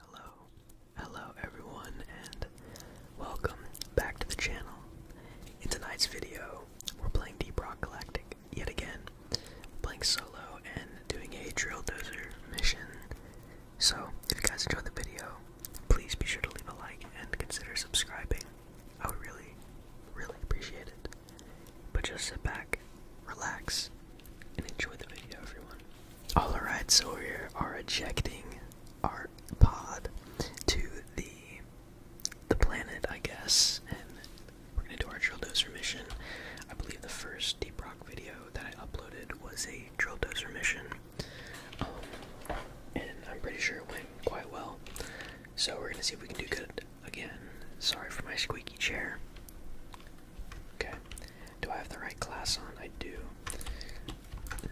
Hello, hello everyone, and welcome back to the channel. In tonight's video, we're playing Deep Rock Galactic yet again, playing solo and doing a drill dozer mission. So, if you guys enjoy the video, please be sure to leave a like and consider subscribing. I would really, really appreciate it. But just sit back, relax, and the video, everyone. Alright, so we are ejecting our pod to the the planet, I guess, and we're gonna do our drill dozer mission. I believe the first Deep Rock video that I uploaded was a drill dozer mission, um, and I'm pretty sure it went quite well. So we're gonna see if we can do good again. Sorry for my squeaky chair. Okay, do I have the right class on? I do.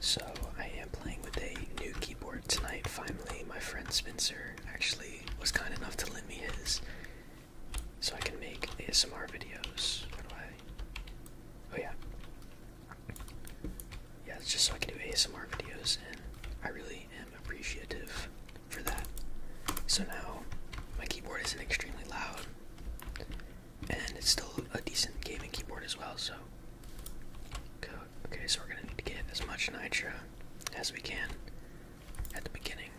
So I am playing with a new keyboard tonight. Finally, my friend Spencer actually was kind enough to lend me his, so I can make ASMR videos. Oh yeah. Yeah, just so I can do ASMR videos, and I really am appreciative for that. So now my keyboard isn't extremely loud, and it's still a decent gaming keyboard as well. So, okay, so we're gonna need to get as much nitro as we can at the beginning,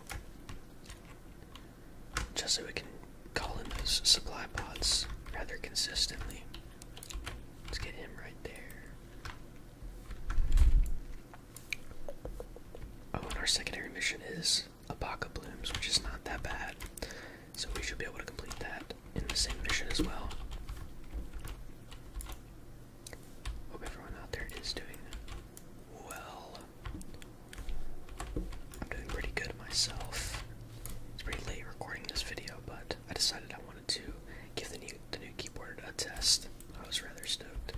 just so we can call in those supply pods rather consistently. Let's get him right there. Oh, and our secondary mission is a pack of Blooms, which is not that bad. So we should be able to complete that in the same mission as well. Hope everyone out there is doing well. I'm doing pretty good myself. It's pretty late recording this video, but I decided I wanted to give the new, the new keyboard a test. I was rather stoked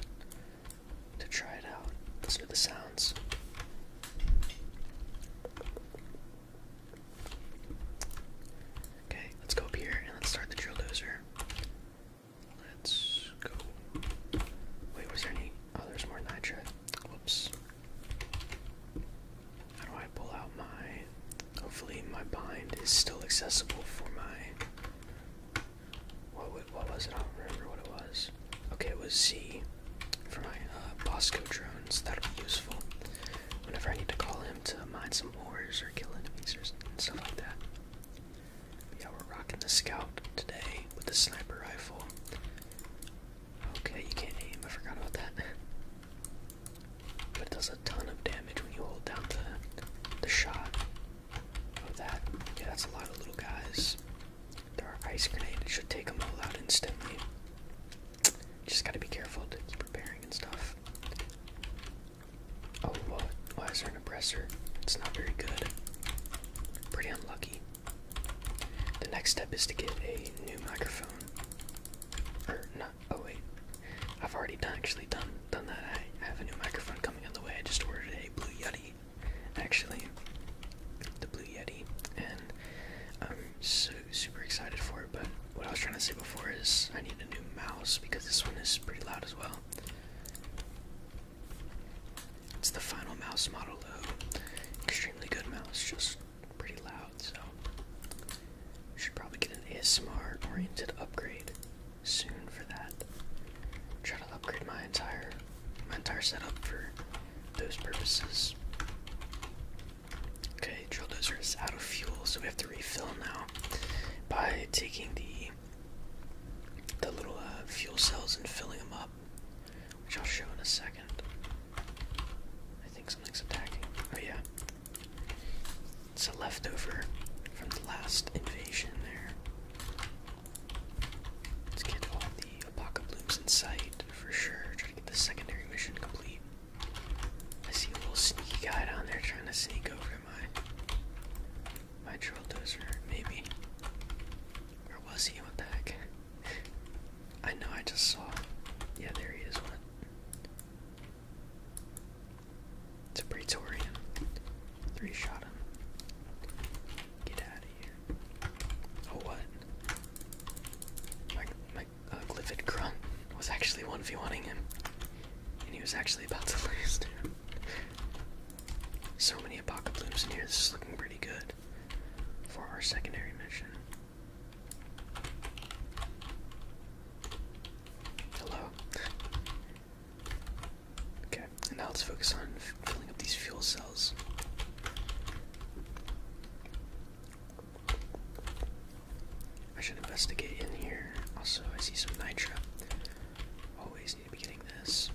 to try it out. Listen to the sounds. Okay, let's go up here and let's start the drill dozer. Let's go. Wait, was there any? Oh, there's more nitrate. Whoops. How do I pull out my. Hopefully, my bind is still accessible for my what, was it? I don't remember what it was. Okay, it was Z for my uh, Bosco drones. That'll be useful whenever I need to call him to mine some ores or kill enemies or stuff like that. yeah, we're rocking the scout today with the sniper rifle. Okay, you can't aim. I forgot about that. But it does a ton of damage when you hold down the the shot of that. Yeah, that's a lot of little guys. There are ice grenade. It should take them all out instantly. Just gotta be careful to keep repairing and stuff. Oh, what? Why is there an oppressor? It's not very good. Pretty unlucky. The next step is to get a new microphone. Or er, not. Oh wait, I've already done actually done done that. I have a new microphone coming on the way. I just ordered a Blue Yeti actually, the Blue Yeti, and I'm super excited for it. But what I was trying to say before is I need a new mouse because this one is pretty loud as well. It's the final mouse model though. Extremely good mouse, just pretty loud, so should probably get an ASMR oriented upgrade soon for that. I'm trying to upgrade my entire my entire setup for those purposes. Okay, drill dozer is out of fuel, so we have to refill now by taking the the little uh, fuel cells and filling them up, which I'll show in a second. I think something's attacking. Oh yeah, it's a leftover from the last invasion there. Let's get all the Apaka blooms in sight for sure. Try to get the secondary mission complete. I see a little sneaky guy down there trying to sneak over my my trail dozer, maybe. Where was he? What the heck? I know I just saw. Yeah, there he is. One. It's a Praetorian. Three shot him. Get out of here. Oh, what? My, my uh, Grunt was actually 1v1ing him. And he was actually about to lose, So many Apocalypse in here. This is looking pretty good for our secondary mission. Hello? Okay, and now let's focus on filling up these fuel cells. I should investigate in here. Also, I see some nitro. Always need to be getting this.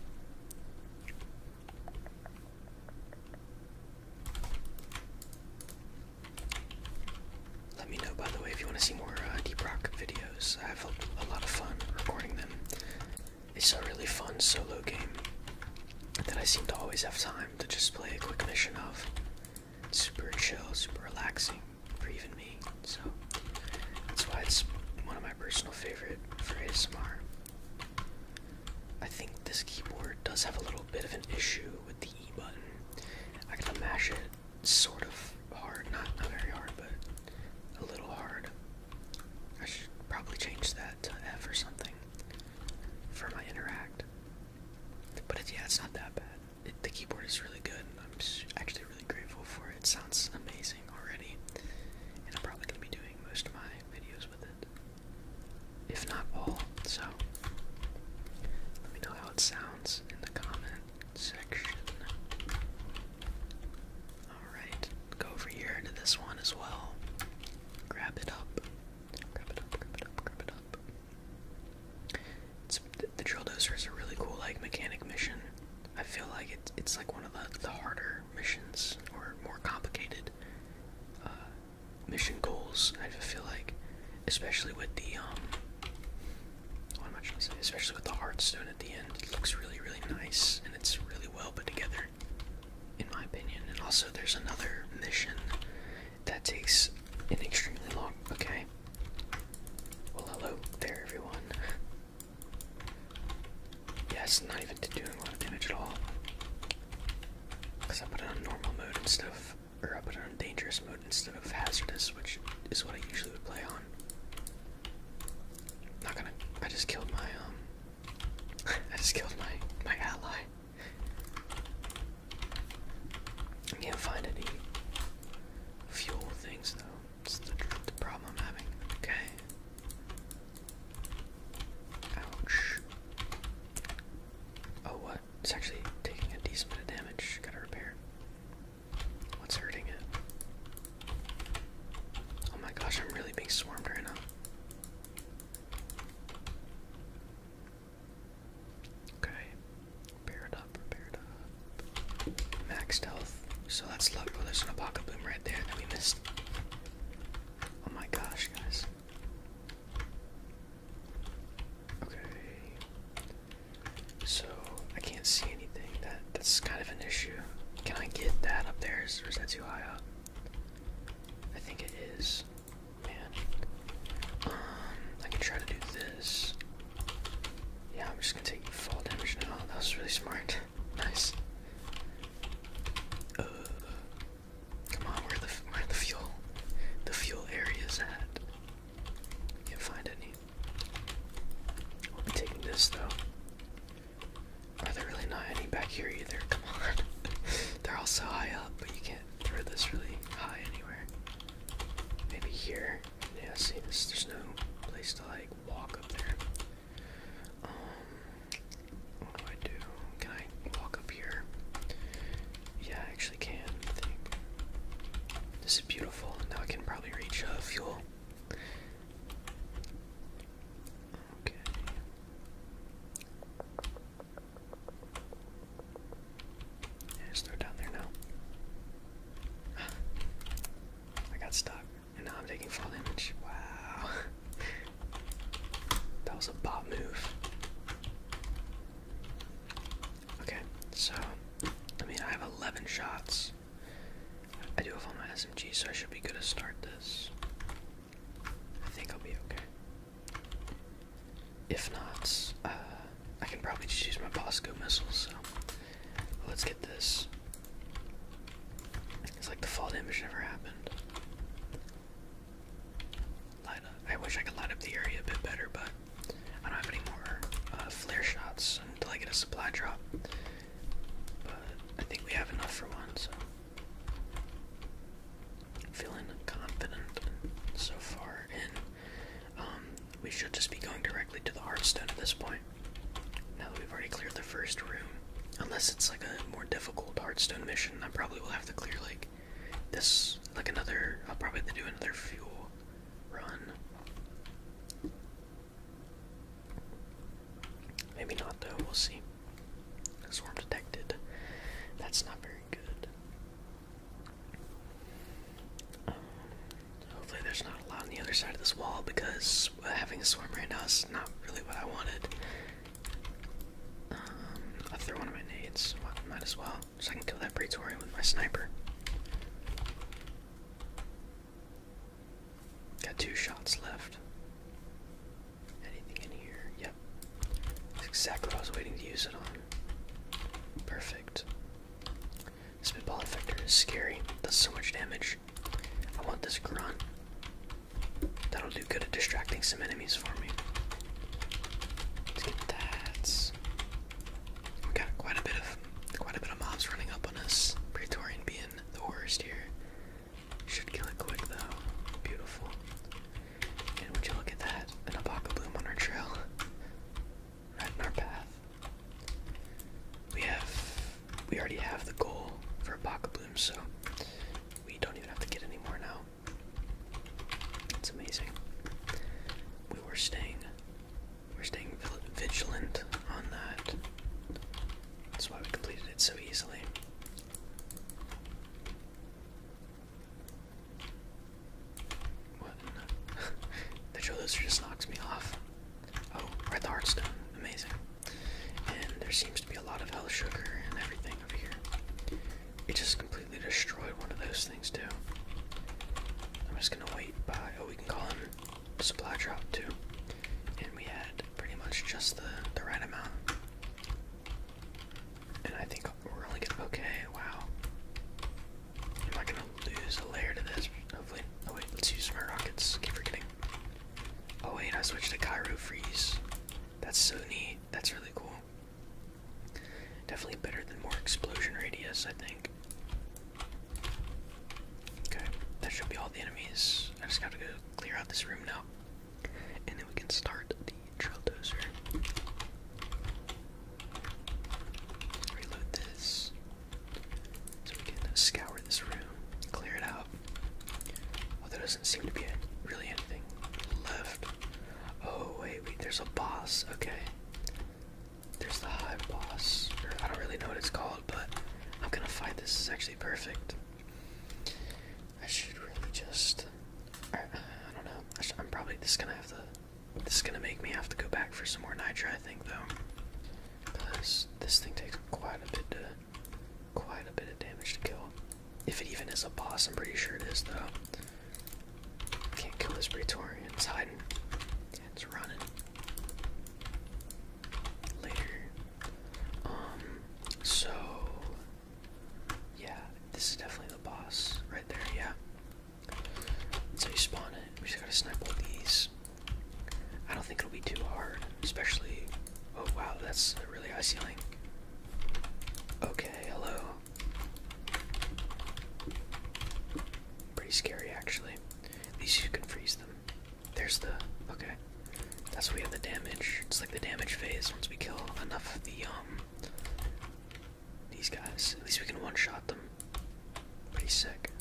Let me know, by the way, if you want to see more uh, Deep Rock videos. I've a lot of fun recording them. It's a really fun solo game that I seem to always have time to just play a quick mission of. super chill, super relaxing for even me. So that's why it's one of my personal favorite for ASMR. I think this keyboard does have a little bit of an issue with the E button. I gotta mash it sort of hard, not, not very hard, but a little hard. I should probably change that to F or something for my interact. But yeah, it's not that bad. the keyboard is really good. And I'm actually really grateful for It sounds amazing already. And I'm probably going to be doing most of my videos with it, if not all. So let me know how it sounds in the comment section. Alright, go over here into this one as well. Grab it up. Grab it up, grab it up, grab it up. It's, the, drill dozer is a really cool like mechanic mission. I feel like it, it's like one of the, the harder missions or more complicated uh, mission goals. I feel like, especially with the um, what am I trying to say? Especially with the Hearthstone at the end, it looks really really nice it's really well put together, in my opinion. And also, there's another mission that takes an extremely long. Okay. Well, hello there, everyone. Yes, not even doing a lot of damage at all. Because I put it on normal mode instead of. Or I put it on dangerous mode instead of hazardous, which is what I usually would play on. Not gonna. I just killed my um. I just killed my my ally. I can't find any fuel things though. It's the, the problem I'm having. Okay. Ouch. Oh what? It's actually taking a decent bit of damage. Gotta repair. What's hurting it? Oh my gosh, I'm really being swarmed right now. Okay, repair up, repair up. Max health. So that's luck. Oh, there's an Apaka boom right there that we missed. Oh my gosh, guys. Okay. So I can't see anything that that's kind of an issue. Can I get that up there, or is that too high up? I think it is. Man. Um, I can try to do this. Yeah, I'm just gonna take full damage now. That was really smart. nice. Uh, come on, where the where the fuel, the fuel area is at. Can't find any. I'll be taking this though. Are there really not any back here either? Come on. They're all so high up, but you can't throw this really high anywhere. Maybe here. Yeah, see, there's no place to like walk up there. Um, what do I do? Can I walk up here? Yeah, I actually can. this is beautiful. Now I can probably reach uh, fuel. Okay. Yeah, just down there now. I got stuck, and now I'm taking fall damage. Wow. that was a bot move. Okay, so, I mean, I have 11 shots. I do have all my SMG, so I should be good to start this. I think I'll be okay. If not, uh, I can probably just use my Bosco missiles, so let's get this. It's like the fall damage never happened. I wish I could light up the area a bit better, but I don't have any more uh, flare shots until I get a supply drop. But I think we have enough for one, so feeling confident so far and um, we should just be going directly to the hearthstone at this point. Now that we've already cleared the first room. Unless it's like a more difficult hearthstone mission, I probably will have to clear like this like another I'll probably have to do another fuel run. Maybe not though, we'll see. Swarm detected. That's not very good. Um, hopefully there's not a lot on the other side of this wall because having a swarm right now is not really what I wanted. Um, I threw one of my nades, might as well, so I can kill that Praetorian with my sniper. Got two shots left. Anything in here? Yep. exactly what I was waiting to use it on. Perfect. Spitball effector is scary. Does so much damage. I want this grunt. That'll do good at distracting some enemies for me. Let's get that. We got quite a bit of quite a bit of mobs running up on us. Praetorian being the worst here. Should kill it quick though. Beautiful. And would you look at that? An abaca bloom on our trail. Right in our path. We have we already have the goal for abaca bloom, so we don't even have to get any more now. It's amazing. We were staying we're staying vigilant on that. That's why we completed it so easily. What? the Joloser just knocks me off. Oh, we're at the Heartstone. Amazing. And there seems to be a lot of health sugar and everything over here. It just completely destroyed one of those things, too. I'm just gonna wait by. Oh, we can call him supply drop too. And we had pretty much just the, the right amount. And I think we're only gonna okay, wow. Am I gonna lose a layer to this? Hopefully. Oh wait, let's use my rockets. Keep forgetting. Oh wait, I switched to Cairo Freeze. That's so neat. That's really cool. Definitely better than more explosion radius, I think. Okay, that should be all the enemies. I just have to go clear out this room now. And then we can start the trail dozer. Reload this. So we can scour this room, clear it out. Well, there doesn't seem to be really anything left. Oh, wait, wait, there's a boss. Okay. There's the hive boss. I don't really know what it's called, but I'm gonna fight this. is actually perfect. I should really just. I, don't know. I am probably. just gonna have to. This is gonna make me have to go back for some more nitra, I think, though. Because this thing takes quite a bit to. Quite a bit of damage to kill. If it even is a boss, I'm pretty sure it is, though. Can't kill this Praetorian. It's hiding. It's running later. Um, so yeah, this is definitely the boss right there, yeah. So you spawn it. We just gotta snipe all these. I don't think it'll be too hard, especially. Oh wow, that's a really high ceiling. Okay, hello. Pretty scary, actually. At least you can freeze them. There's the okay. That's where we have the damage. It's like the damage phase once we kill enough of the um these guys. At least we can one-shot them. Pretty sick.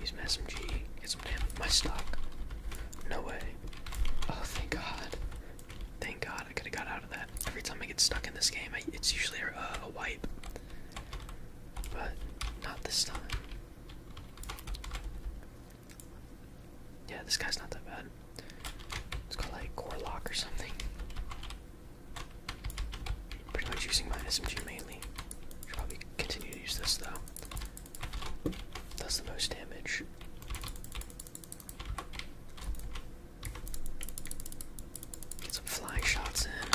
Use my SMG. Get some damage. My stock. No way. Oh, thank God. Thank God I could have got out of that. Every time I get stuck in this game, it's usually a, uh, a wipe. But not this time. Yeah, this guy's not that bad. It's called like core lock or something. Pretty much using my SMG mainly. Should probably continue to use this though. Does the most damage. Get some flying shots in.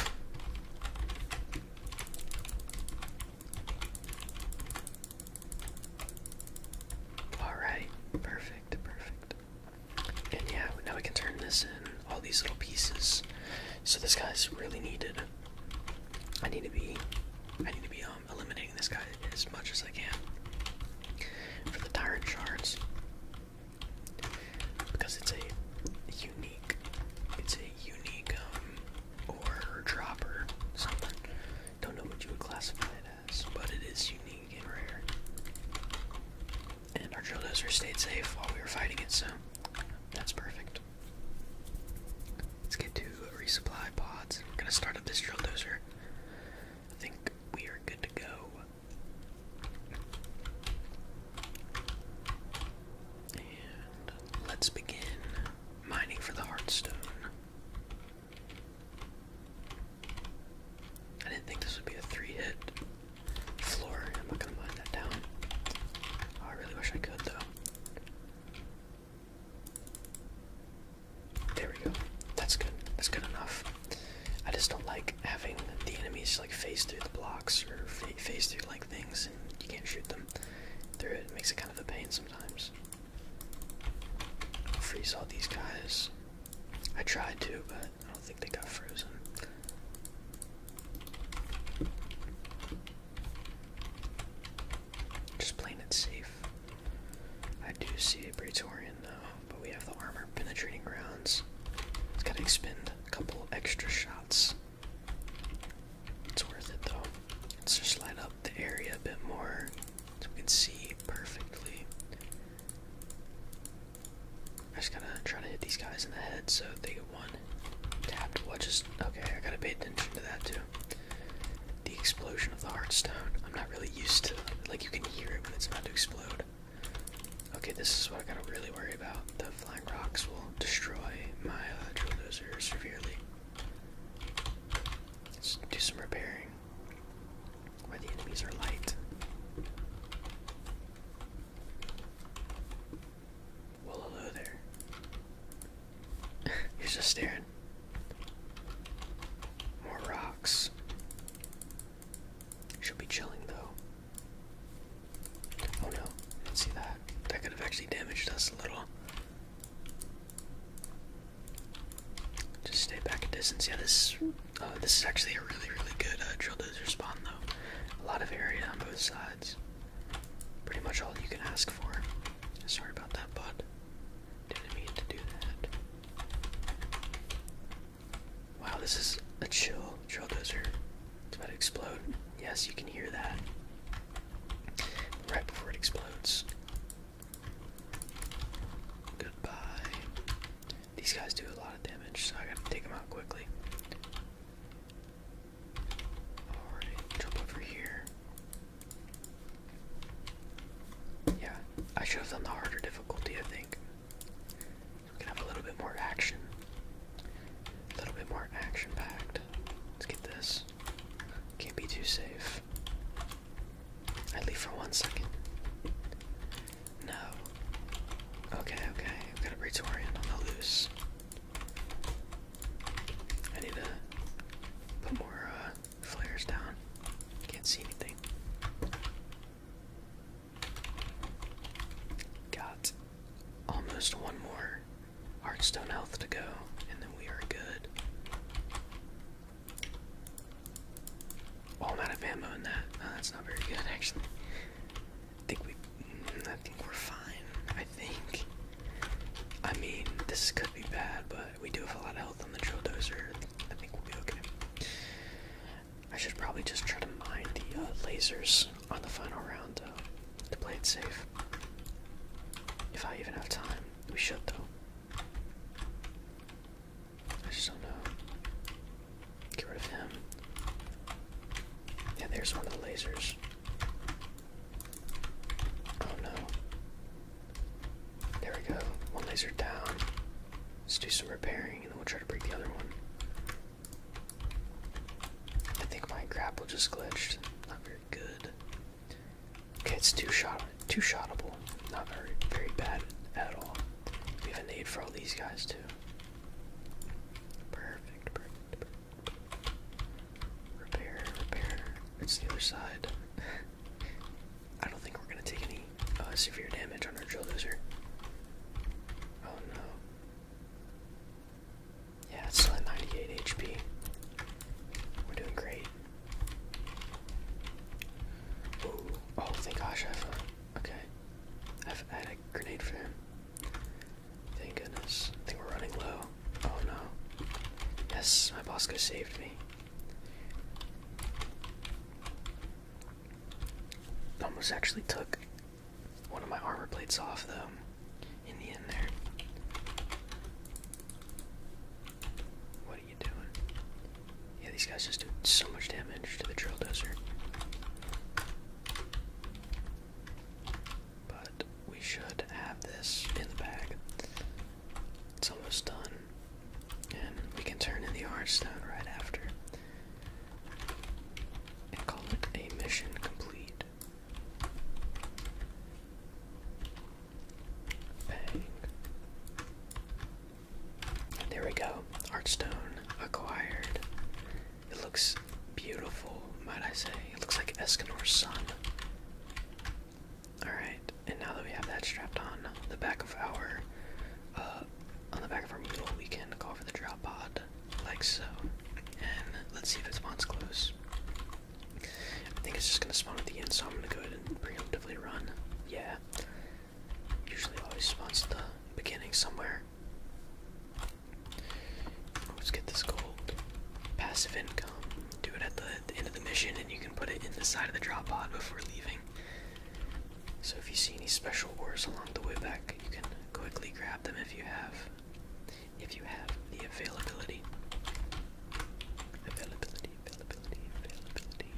Alright, perfect, perfect. And yeah, now we can turn this in, all these little pieces. So this guy's really needed. I need to be I need to be um eliminating this guy as much as I can. For the tyrant shards because it's a unique, it's a unique um, dropper something. Don't know what you would classify it as, but it is unique and rare. And our drill dozer stayed safe while we were fighting it, so that's perfect. Let's get to resupply pods. We're gonna start up this drill dozer. I think we are good to go let's begin mining for the Heartstone. I didn't think this would be a three hit floor. I'm not gonna mine that down. Oh, I really wish I could though. There we go. That's good. That's good enough. I just don't like having the enemies like phase through the block or phase through like things, and you can't shoot them through it. It makes it kind of a pain sometimes. I'll freeze all these guys. I tried to, but I don't think they got frozen. Just playing it safe. I do see a Praetorian though, but we have the armor penetrating rounds. It's gotta expend couple extra shots. It's worth it though. Let's just light up the area a bit more so we can see perfectly. I just gotta try to hit these guys in the head so they get one tapped. What just okay, I gotta pay attention to that too. The explosion of the heartstone. I'm not really used to like you can hear it when it's about to explode. Okay, this is what I gotta really worry about. The flying rocks will destroy my uh, drill dozer severely. Let's do some repairing where the enemies are light. Well, hello there. He's just staring. More rocks. Should be chilling though. Oh no. See that? That could have actually damaged us a little. Just stay back a distance. Yeah, this uh, this is actually a really, really good uh, drill dozer spawn, though. A lot of area on both sides. Pretty much all you can ask for. Sorry about that, bud. Didn't mean to do that. Wow, this is a chill traildozer. It's about to explode. Yes, you can hear that. Right before it explodes. Goodbye. These guys do a lot of damage, so I gotta take them out quickly. Alright, jump over here. Yeah, I should have done the harder difficulty, I think. We can have a little bit more action. A little bit more action packed. Let's get this. Can't be too safe. I leave for one second. No. Okay, okay. I've got a Praetorian on the loose. I need to put more uh, flares down. Can't see anything. Got almost one more Heartstone Health to go, and then we are good. Oh, out of ammo in that. Oh, that's not very good, actually. I think we, mm, I think we're fine. I think. I mean, this could be bad, but we do have a lot of health on the trail dozer. I think we'll be okay. I should probably just try to mine the uh, lasers on the final round, though, to play it safe. If I even have time, we should, though. I just don't know. Get rid of him. Yeah, there's one of the lasers. Oh no. There we go. One laser down. Let's do some repairing and then we'll try to break the other one. I think my grapple just glitched. Not very good. Okay, it's two shot, two shottable. Not very, very bad at all. We have a need for all these guys too. Perfect, Repair, repair. It's the other side. I don't think we're gonna take any uh, severe damage on our drill dozer. Oh no. Yeah, it's still at 98 HP. We're doing great. Ooh. Oh, thank gosh, I've. Uh, okay. I've had a grenade for him. Thank goodness. I think we're running low. Oh no. Yes, my Bosco saved me. Almost actually took one of my armor plates off though in the end there. What are you doing? Yeah, these guys just did so much damage to the drill dozer. But we should have this in the bag. It's almost done. And we can turn in the R stone right after and call it a mission complete. Bang. there we go. Heartstone acquired. It looks beautiful, might I say. It looks like Escanor's son. Alright, and now that we have that strapped on, the back of our uh, on the back of our Moodle, we can call for the drop pod, like so. And let's see if it spawns close. I think it's just gonna spawn at the end, so I'm gonna go ahead and preemptively run. Yeah. Usually always spawns at the beginning somewhere. Let's get this gold. Passive income. Do it at the end of the mission, and you can put it in the side of the drop pod before leaving. So if you see any special ores along the way back, you can quickly grab them if you have if you have the availability. Availability, availability, availability.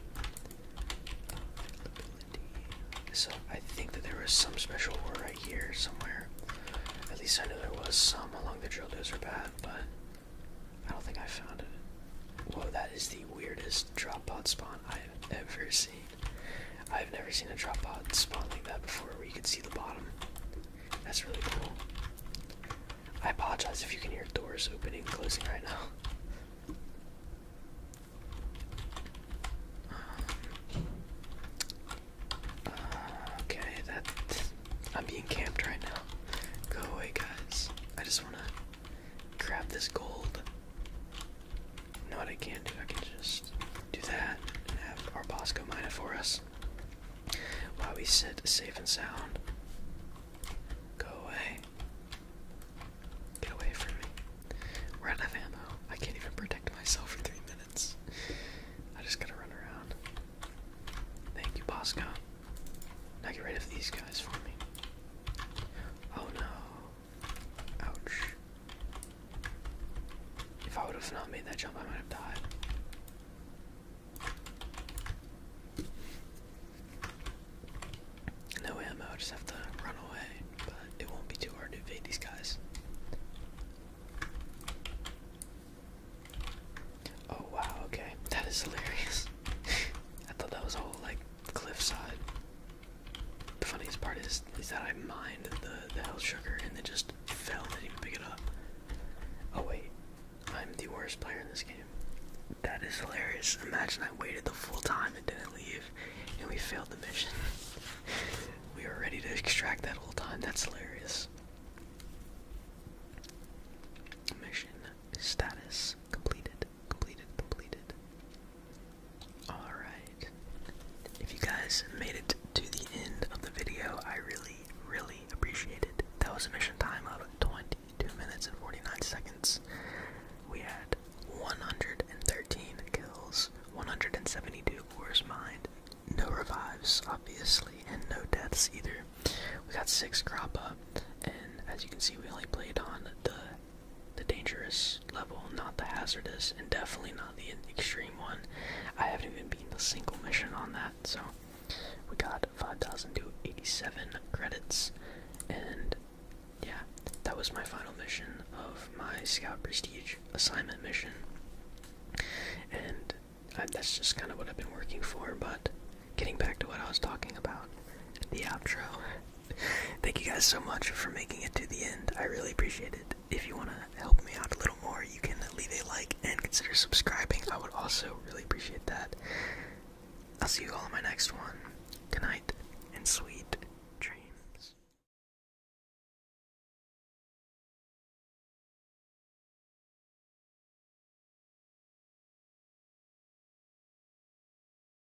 Availability. So I think that there was some special ore right here somewhere. At least I know there was some along the drill dozer path, but I don't think I found it. Whoa, that is the weirdest drop pod spawn I have ever seen. I've never seen a drop out spot like that before where you could see the bottom. That's really cool. I apologize if you can hear doors opening and closing right now. Um, uh, okay, that I'm being camped right now. Go away, guys. I just wanna grab this gold. You I can do? I can just do that and have our Bosco mine it for us. While we sit safe and sound. Go away. Get away from me. We're out of I can't even protect myself for three minutes. I just gotta run around. Thank you, Bosco. Now get rid of these guys for me. Oh no. Ouch. If I would have not made that jump, I might have died. No ammo, just have to run away, but it won't be too hard to evade these guys. Oh wow, okay. That is hilarious. I thought that was a like cliffside. The funniest part is is that I mined the the health sugar and then just fell and didn't pick it up. Oh wait, I'm the worst player in this game. That is hilarious. Imagine I waited the full time and didn't leave, and we failed the mission. we were ready to extract that whole time. That's hilarious. Mission status completed completed, completed. Alright. If you guys made it to the end of the video, I really, really appreciate it. That was a mission time of 22 minutes and 49 seconds. We had 113 kills, 172 wars mined, no revives, obviously, and no deaths either. We got 6 crop up, and as you can see, we only played on the the dangerous level, not the hazardous, and definitely not the extreme one. I haven't even been the single mission on that, so we got 5,287 credits, and yeah, that was my final mission of my Scout Prestige assignment mission, and that's just kind of what I've been working for, but getting back to what I was talking about, the outro. Thank you guys so much for making it to the end. I really appreciate it. If you want to help me out a little more, you can leave a like and consider subscribing. I would also really appreciate that. I'll see you all in my next one. Good and sweet dreams.